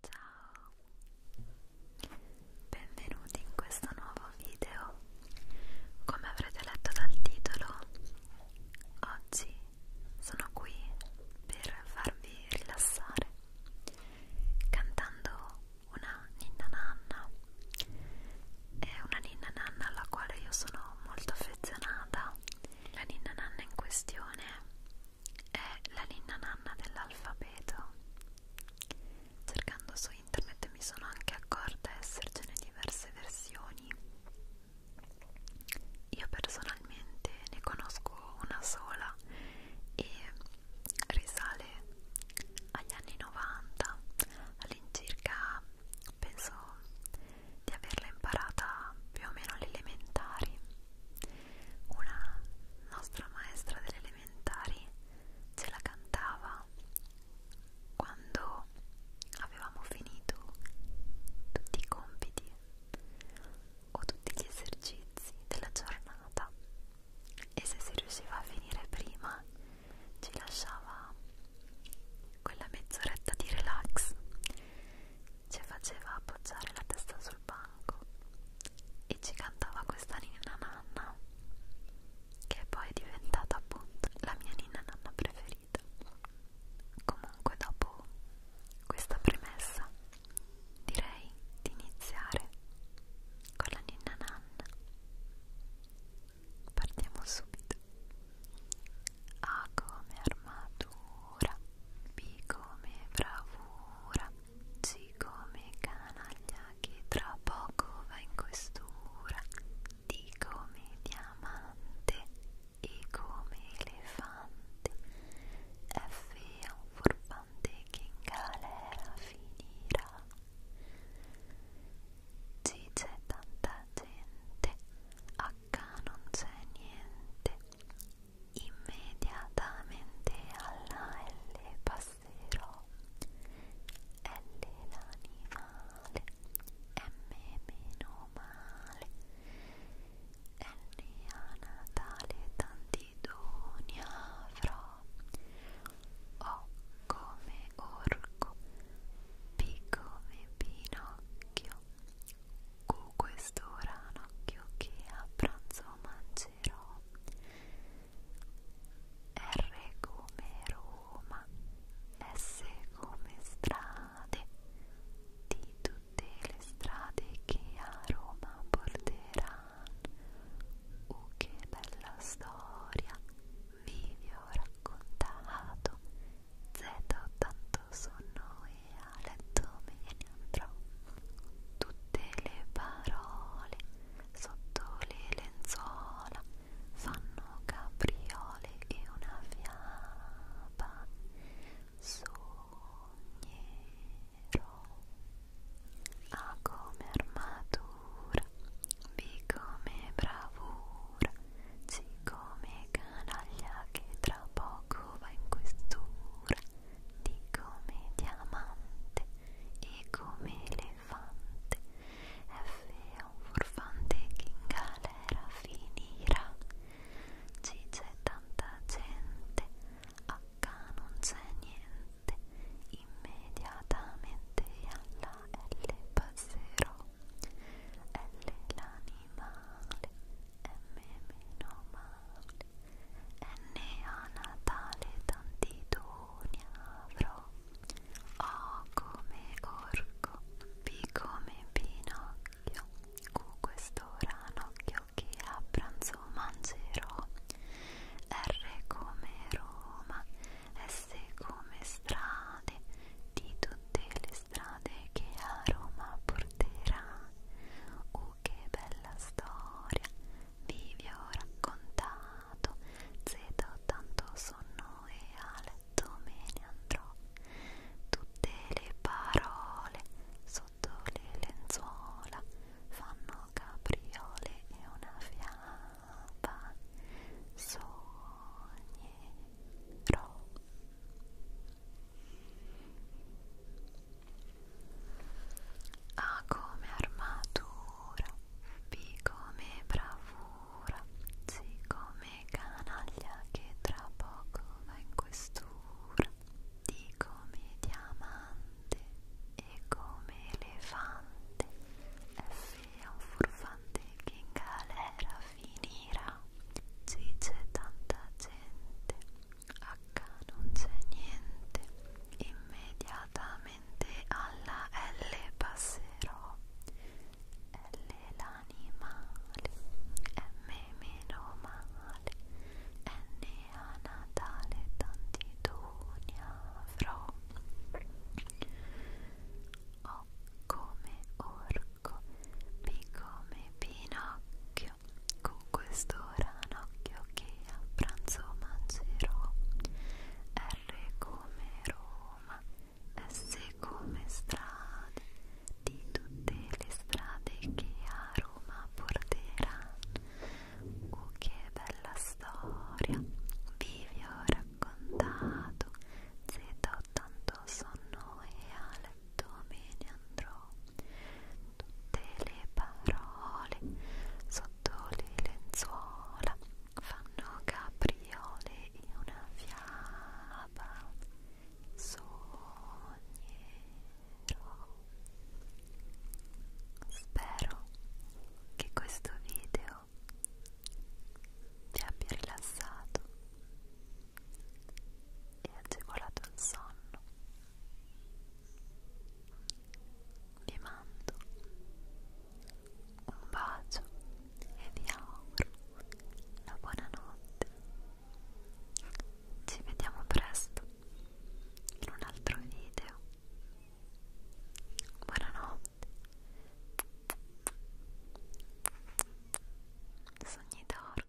Ciao, benvenuti in questo nuovo video. Come avrete letto dal titolo, oggi sono qui per farvi rilassare cantando una ninna nanna. È una ninna nanna alla quale io sono molto affezionata. La ninna nanna in questione è la ninna nanna dell'alfabeto. Cercando su internet mi sono anche accorta essercene diverse versioni. Io personalmente ne conosco una sola e risale agli anni 90, all'incirca penso di averla imparata più o meno alle elementari una nostra maestra delle elementari ce la cantava quando avevamo finito tutti i compiti o tutti gli esercizi della giornata e se si riusciva a finire prima ci lasciava quella mezz'oretta di relax ci faceva appoggiare la testa sul banco e ci cantava questa ninna nanna che è poi è diventata appunto la mia ninna nanna preferita comunque dopo questa premessa direi di iniziare con la ninna nanna partiamo subito A come armatura B come bravura come canaglia che tra poco va in questura di come diamante e come elefante F è un furbante che in galera finirà G c'è tanta gente H non c'è niente immediatamente alla L passerò L l'animale M meno male N a Natale tanti doni avrò O come orco P come Pinocchio Cu questo ranocchio che a pranzo mangerò R come Roma, S come strade Di tutte le strade che a Roma porteranno Uh che bella storia, vi vi ho raccontato Z tanto sono e a letto me ne andrò. Tutte le parole sotto le lenzuola fanno capriole e una fiaba sognerò. A ah, come armatura, B come bravura, C come canaglia che tra poco va in questura di come diamante e come elefante F è un furfante che in galera finirà C c'è tanta gente H non c'è niente immediatamente alla L passerò L l'animale meno male e neonatale tantidoni avrò O come orco, B come pinocchio Q questo ranocchio che a pranzo mangerò R come Roma, S come strade di tutte le strade che a Roma porterà U che che bella storia vi vi ho raccontato Zeto tanto sonno e a letto me ne andrò Tutte le parole sotto le lenzuola fanno capriole e una fiaba Sognerò a come armatura, B come bravura, C come canaglia che tra poco va in questura, D come diamante, E come elefante, F è un furfante che in galera finirà, C c'è tanta gente, H non c'è niente immediatamente alla L passerò L l'animale M meno male N a Natale tanti doni avrò O come orco P come pinocchio video con questo ranocchio che a pranzo mangerò R come Roma, S come strade di tutte le strade che a Roma porteranno oh che bella storia vi ho raccontato Z80 sonno e Ale letto me ne andrò tutte le parole sotto le lenzuola fanno capriole e una fiaba sognerò spero che questo video ti abbia rilassato e agevolato il sonno vi mando un bacio e vi auguro una buona notte ci vediamo presto in un altro video buonanotte sogni d'oro